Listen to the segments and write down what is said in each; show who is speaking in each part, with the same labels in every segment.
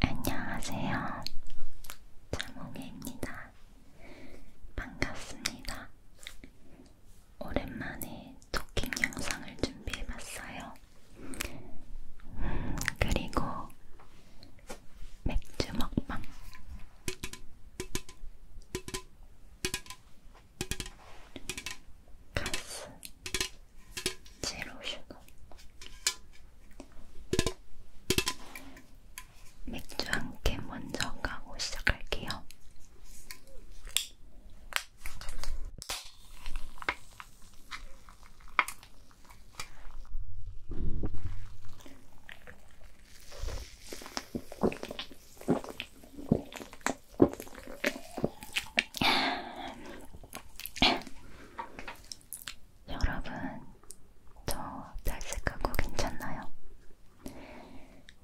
Speaker 1: 안녕하세요. 자몽입니다. 반갑습니다. 오랜만에 토킹 영상을 준비해봤어요. 음, 그리고 맥주 먹방. 가스, 제로 슈거 맥주 한캔 먼저 가고 시작할게요. 여러분, 저 잘생각고 괜찮나요?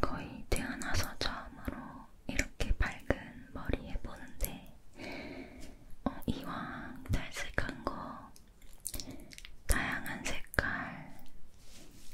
Speaker 1: 거의 태어나서 처음으로 이렇게 밝은 머리 해보는데 어, 이왕 잘색한 거 다양한 색깔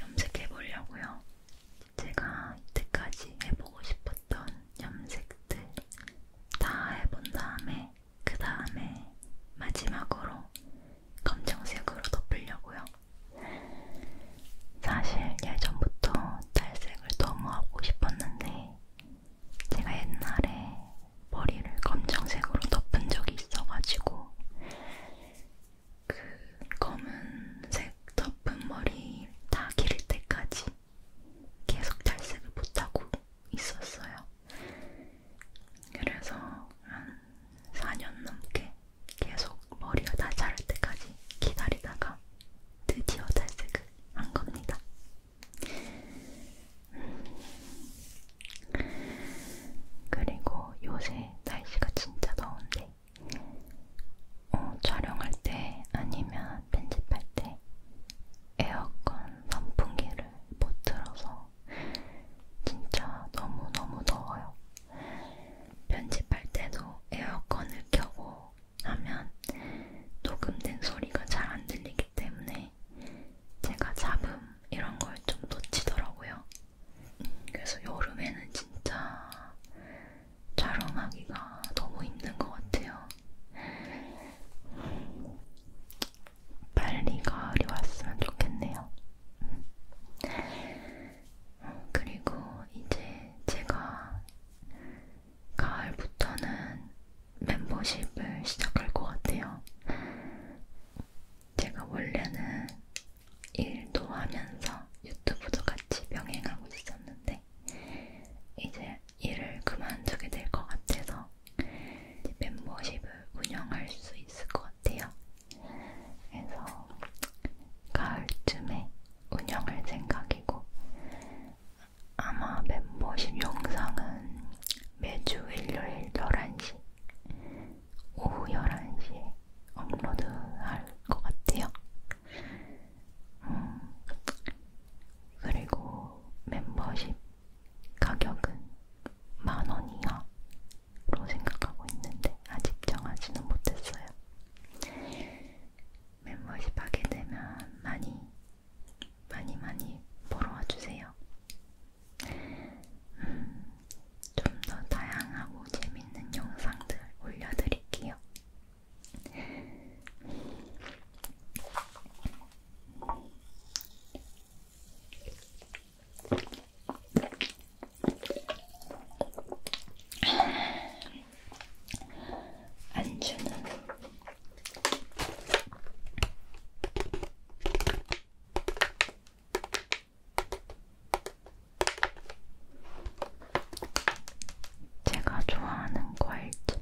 Speaker 1: 염색해보려고요. 제가 이때까지 해보고 싶었던 염색들 다 해본 다음에 그 다음에 마지막으로 검정색으로 덮으려고요. 사실 예전부터 탈색을 너무 하고 싶었는데 제가 옛날에 머리를 검정색으로 덮은 적이 있어가지고 그 검은색 덮은 머리 다 기를 때까지 계속 탈색을 못하고 있었어요. 그래서 한 4년 넘게 계속 머리가 다 자랄 때까지 기다리다가 드디어 탈색을 한 겁니다. 그리고 요새 날씨가 진짜 더운데 어, 촬영할 때 아니면 편집할 때 에어컨 선풍기를 못 틀어서 진짜 너무너무 더워요. 편집할 때도 에어컨을 켜고 하면 녹음된 소리가 잘 안 들리기 때문에 제가 잡음 이런 걸 좀 놓치더라고요. 그래서 여름에는 진짜 촬영하기가 너무 힘든 것 같아요. 빨리 가을이 왔으면 좋겠네요. 그리고 이제 제가 가을부터는 멤버십을 시작할 것 같아요. 제가 원래는 일도 하면서 유튜브도 같이 병행하고 있었는데, 있는데 네. 이제 일을 그만두게 될 것 같아서 멤버십을 운영할 수 있을 것 같아요. 그래서 가을쯤에 운영할 생각이고 아마 멤버십 영상은 매주 일요일 11시, 오후 11시에 업로드할 것 같아요. 음, 그리고 멤버십 가격은 만원 이하로 생각하고 있는데 아직 정하지는 못했어요. 멤버십 하게 되면 많이 많이 많이 보러 와주세요. 음, 좀더 다양하고 재밌는 영상들 올려드릴게요. 안주는 제가 좋아하는 과일집.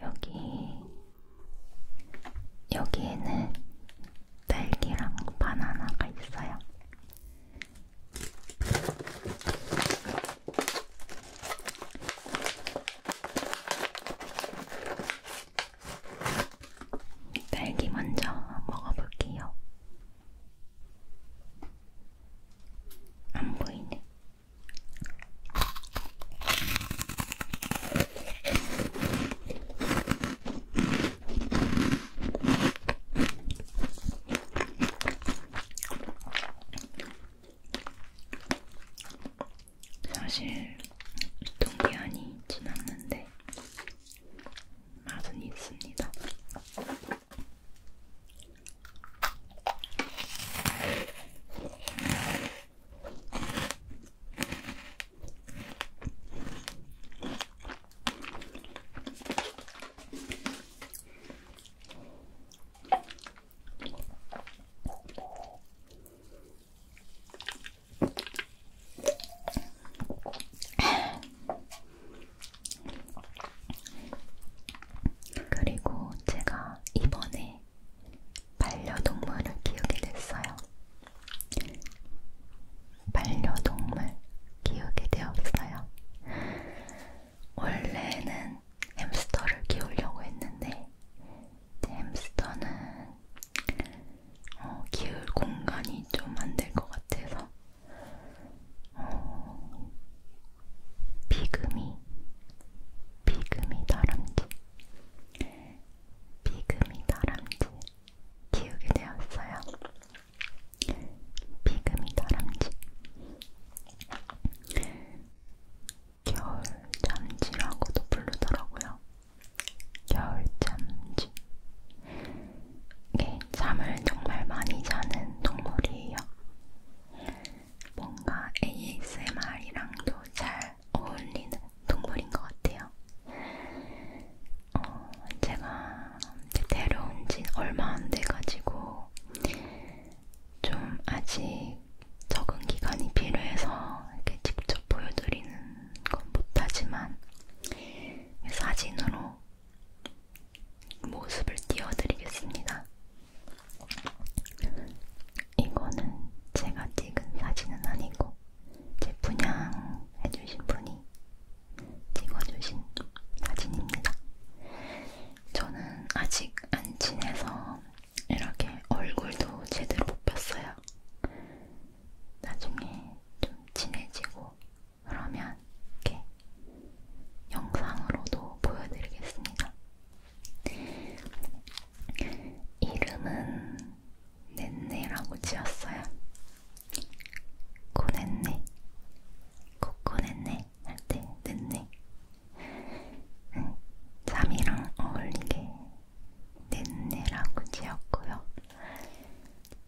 Speaker 1: 여기, 여기에는 딸기랑 바나나가 있어요. 딸기 먼저 먹어볼게요. 안 보이네. 사실 유통기한이 지났는데 맛은 있습니다. 그리고 제가 이번에 반려동물을 키우게 됐어요. 반려동물 키우게 되었어요. 원래는 햄스터를 키우려고 했는데 햄스터는 어, 기울 공간이 좀 안 될 것 같아서 어, 비금이 비금이 다람쥐 비금이 다람쥐 키우게 되었어요. 비금이 다람쥐 겨울 잠지라고도 부르더라고요. 겨울 잠지. 이게 잠을 정말 많이 자는 동물이에요. 뭔가 ASMR이랑도 잘 어울리는 동물인 것 같아요. 어, 제가 데려온 지 얼마 안 돼가지고 좀 아직 적응 기간이 필요해서 이렇게 직접 보여드리는 건 못하지만 사진으로 모습을 띄워드리겠습니다. 이거는 제가 찍은 사진은 아니고 제 분양해주신 분이 찍어주신 사진입니다. 저는 아직 안 친해서 이렇게 얼굴도 제대로 못 뺐어요. 나중에 좀 진해지고 그러면 이렇게 영상으로도 보여드리겠습니다. 이름은 넷네라고 지었어요. 코넷네, 코코넷네 할때 넷네 잠이랑 어울리게 넷네라고 지었고요.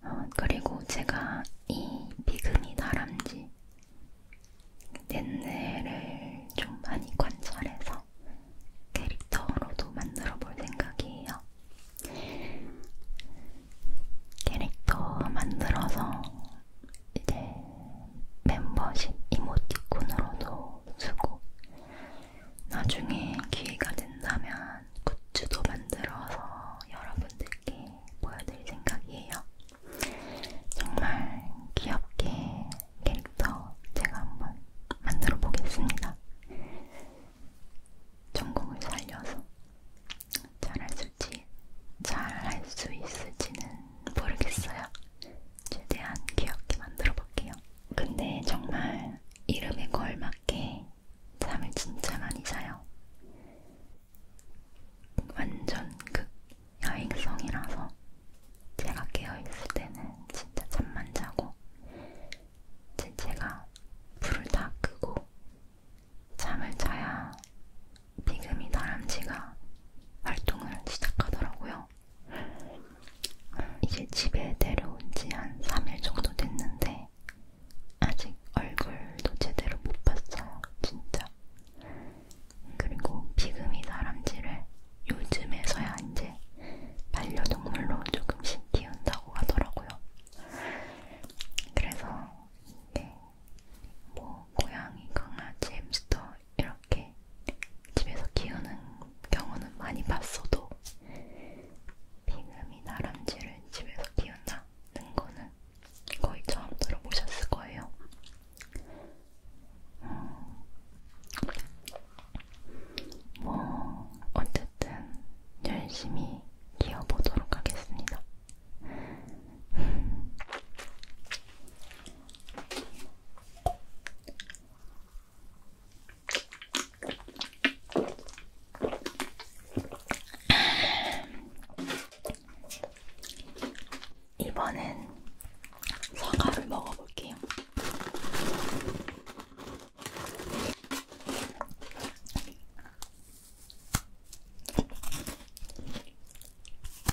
Speaker 1: 어, 그리고 제가 이 비그니 다람쥐 넷네를 좀 많이 관찰해서 캐릭터로도 만들어 볼 생각이에요. 캐릭터 만들어서 이제 멤버십 이모티콘으로도 쓰고 나중에 기회가 된다면 굿즈도 만들어서 여러분들께 보여드릴 생각이에요. 정말 귀엽게 캐릭터 제가 한번 만들어 보겠습니다. 전공을 살려서 잘할 수 있을지, 잘할 수 있을지는 모르겠어요. 최대한 귀엽게 만들어 볼게요. 근데 정말 이름에 걸맞게 잠을 진짜 많이 자요. 완전 극 여행성이라서 제가 깨어있을 때는 진짜 잠만 자고 제 제가 불을 다 끄고 잠을 자야 비금이 다람쥐가 활동을 시작하더라고요. 있어요. 이제 집에 내려온 지 한 3일 정도 됐는데 아직 얼굴도 제대로 못 봤어요. 진짜. 그리고 비금이 다람쥐를 요즘에서야 이제 반려동물로 조금씩 키운다고 하더라고요. 그래서 이게 뭐 고양이, 강아지, 햄스터 이런 이렇게 집에서 키우는 경우는 많이 봤어도 빙음이 나람쥐를 집에서 키운다는 거는 거의 처음 들어보셨을 거예요. 음, 뭐 어쨌든 열심히 키워보도록 하겠습니다. 이번엔 사과를 먹어볼게요.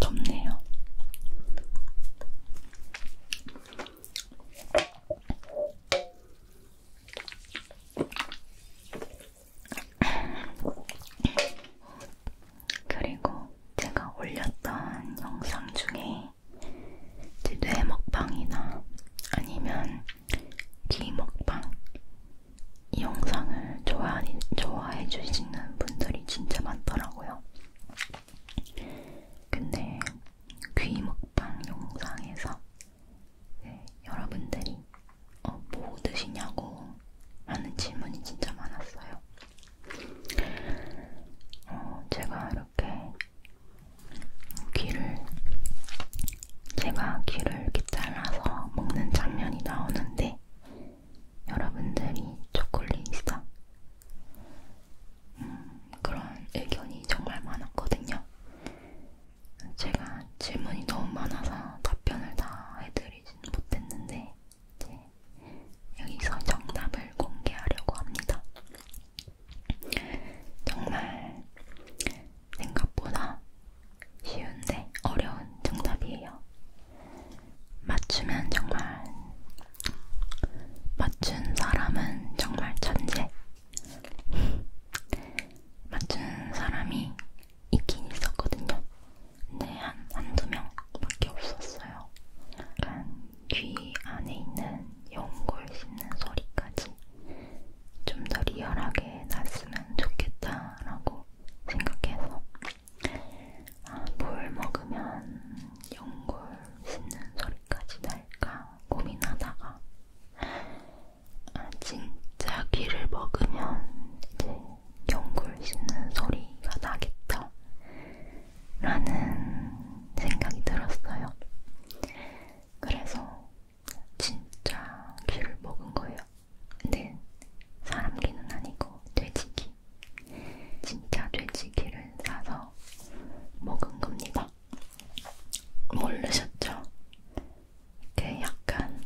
Speaker 1: 덥네요. 그리고 제가 올렸던 영상 중에 뇌 먹방이나 아니면 귀 먹방 이 영상을 좋아하니, 좋아해 주시는 분들이 진짜 많더라고요. 근데 귀 먹방 영상에서 네, 여러분들이 어, 뭐 드시냐고 하는 질문이 진짜 많았어요. 어, 제가 이렇게 귀를 제가 귀를 이렇게 잘라서 먹는 장면이 나오는데 여러분들이 초콜릿이다 음, 그런 의견이 정말 많았거든요. 제가 질문이 너무 많아서 답변을 다 해드리진 못했는데 이제 여기서 정답을 공개하려고 합니다. 정말 생각보다 쉬운데 어려운 정답이에요. 맞추면 정말 맞춘 사람은 정말 천재. 맞춘 사람이 있긴 있었거든요. 근데 한, 한두 명밖에 없었어요. 약간 귀 안에 있는 연골 씹는 소리까지 좀 더 리얼하게 났으면 좋겠다라고 생각해서 아, 뭘 먹으면 연골 씹는 소리까지 날까 고민하다가 아, 진짜 귀를 먹으면 이제 연골 씹는 소리가 나겠다 라는 생각이 들었어요. 그래서 진짜 귀를 먹은 거예요. 근데 사람 귀는 아니고 돼지 귀. 진짜 돼지 귀를 사서 먹은 겁니다. 모르셨죠? 이게 약간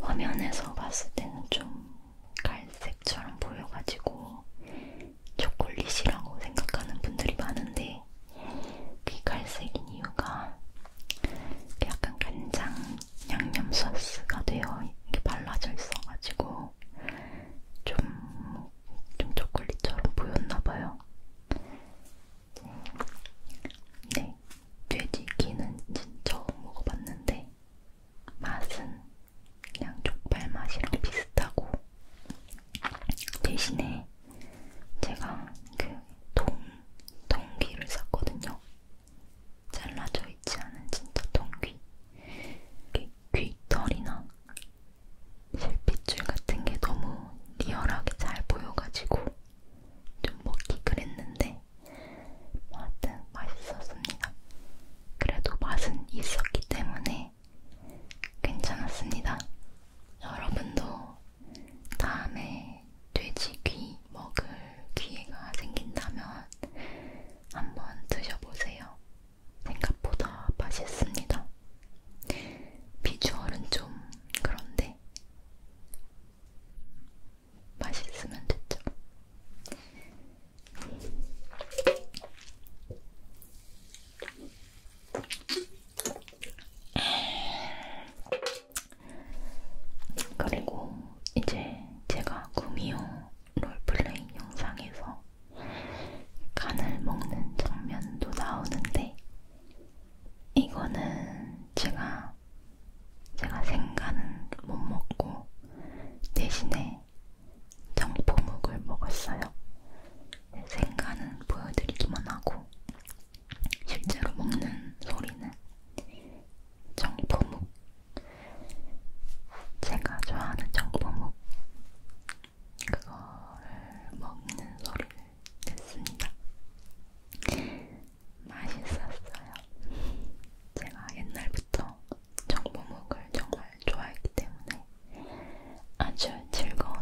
Speaker 1: 화면에서 봤을 때는 좀 갈색처럼 보여가지고 초콜릿이라고 생각하는 분들이 많은데 그 갈색인 이유가 약간 간장 양념 소스가 되어 이렇게 발라져 있어가지고 좀, 좀 초콜릿처럼 보였나봐요. 네, 돼지기는 진짜 먹어봤는데 맛은 그냥 족발 맛이랑 비슷하고 대신에 제가 그 동, 동귀를 샀거든요. 잘라져 있지 않은 진짜 동귀. 귀털이나 실핏줄 같은 게 너무 리얼하게 잘 보여가지고 좀 먹기 그랬는데 하여튼 맛있었습니다. 그래도 맛은 있었기 때문에 덕분에 괜찮았습니다. 여러분도 다음에 돼지귀 먹을 기회가 생긴다면 한번 드셔보세요. 생각보다 맛있습니다. 비주얼은 좀 그런데 맛있으면 됐죠. 그리고 이제 제가 구미호 롤플레이 영상에서 간을 먹는 장면도 나오는데 이거는 제가 제가 생간은 못 먹고 대신에 정포묵을 먹었어요. 생간은 보여드리기만 하고 실제로 먹는 소리는 정포묵 제가 좋아하는 정포묵 그거를 먹는 소리를 냈습니다. 맛있었어요. 제가 옛날부터 정보목을 정말 정말 좋아했기 때문에 아주 즐거운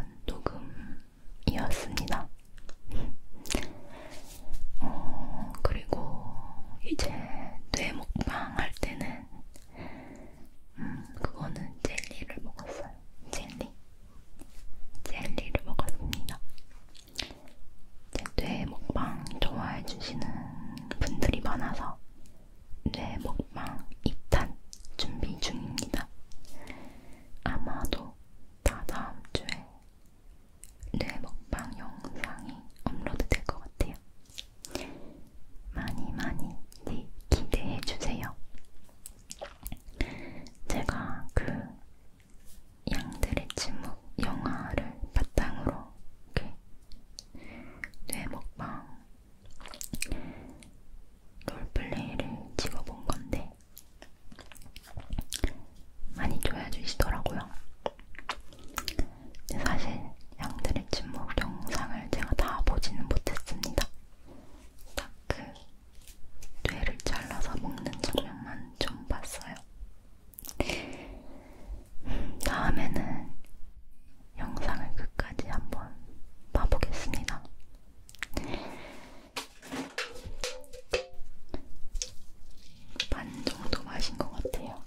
Speaker 1: 녹음이었습니다. 어, 그리고 이제 뇌 먹방 할 때는 음, 그거는 젤리를 먹었어요. 젤리. 젤리를 먹었습니다. 제뇌 먹방 좋아해주시는 분들이 많아서 뇌 먹방 2탄 준비 중입니다. 아마도 다 다음 주에 뇌 먹방 영상이 업로드 될 것 같아요. 많이 많이 네, 기대해 주세요. 제가 그 양들의 침묵 영화를 바탕으로 이렇게 뇌 먹방 롤플레이를 찍어본 건데 많이 좋아해주시더라고요. 사실 양들의 침묵 영상을 제가 다 보지는 못했습니다. 딱 그 뇌를 잘라서 먹는 장면만 좀 봤어요. 다음에는 영상을 끝까지 한번 봐보겠습니다. 반 정도 마신 것 같아요.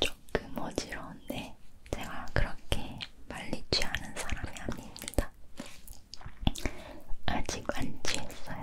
Speaker 1: 조금 어지러운데 제가 그렇게 빨리 취하는 사람이 아닙니다. 아직 안 취했어요.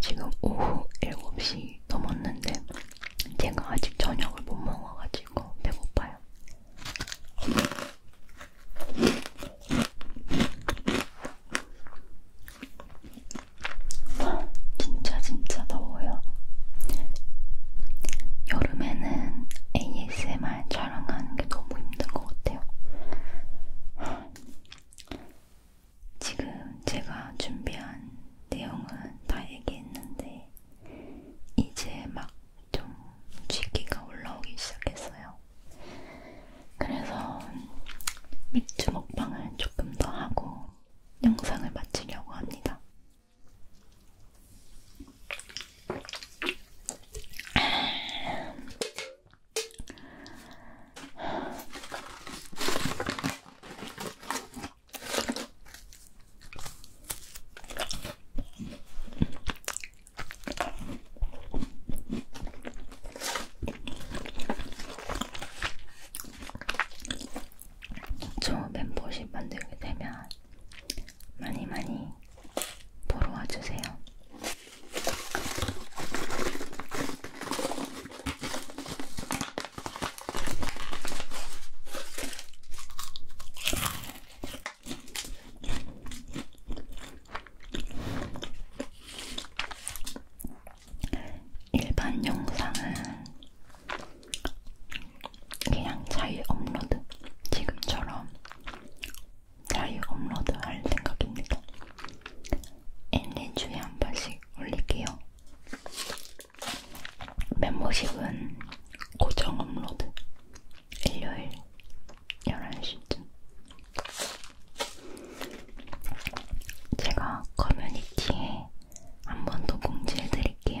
Speaker 1: 지금 오후 7시 넘었는데 제가 아직 저녁을 못 먹어가지고 배고파요. 진짜 진짜 더워요. 여름에는 ASMR 촬영하는 게 너무 힘든 것 같아요. 지금 제가 준비한 내용은 다 얘기했는데 이제 막좀 쥐기가 올라오기 시작했어요. 그래서 맥주 먹방을 조금 더 하고 영상을 마치려고 합니다. 저 멤버십 만들게 되면 많이 많이 보러 와주세요. 일반 영상은 그냥 자유 업로드 지금처럼 자유 업로드할 생각입니다. 일주에 한 번씩 올릴게요. 멤버십은 고정 업로드 일요일 11시쯤 제가 커뮤니티에 한 번 더 공지해드릴게요.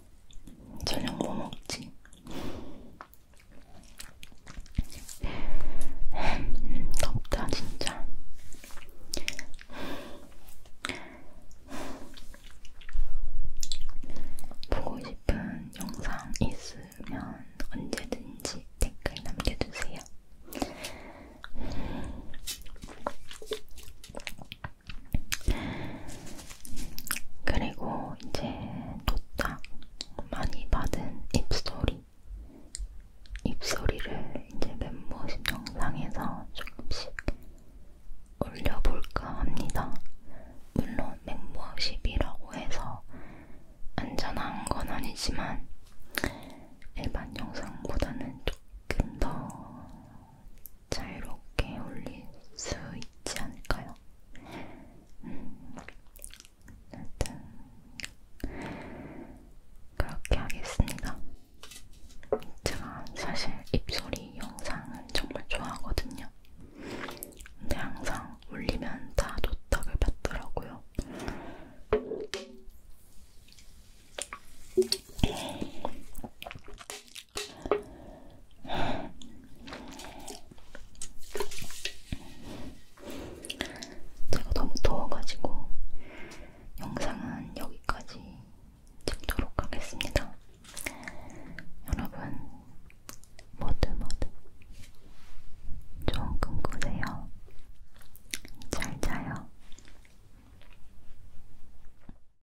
Speaker 1: 저녁 뭐 먹지? 덥다 진짜. 보고 싶은 영상 있으면 언제든지 댓글 남겨주세요. 그리고 이제 도착 많이 받은 입소리. 입소리를 이제 멤버십 영상에서 조금씩 올려볼까 합니다. 물론 멤버십이라고 해서 안전한 건 아니지만 일반 영상보다는 조금 더 자유롭게 올릴 수 있지 않을까요? 음, 하여튼 그렇게 하겠습니다. 제가 사실 입소리 영상을 정말 좋아하거든요. 근데 항상 올리면 다 도탁을 받더라고요. 제가 너무 더워가지고 영상은 여기까지 찍도록 하겠습니다. 여러분 모두 모두 좋은 꿈 꾸세요. 잘 자요.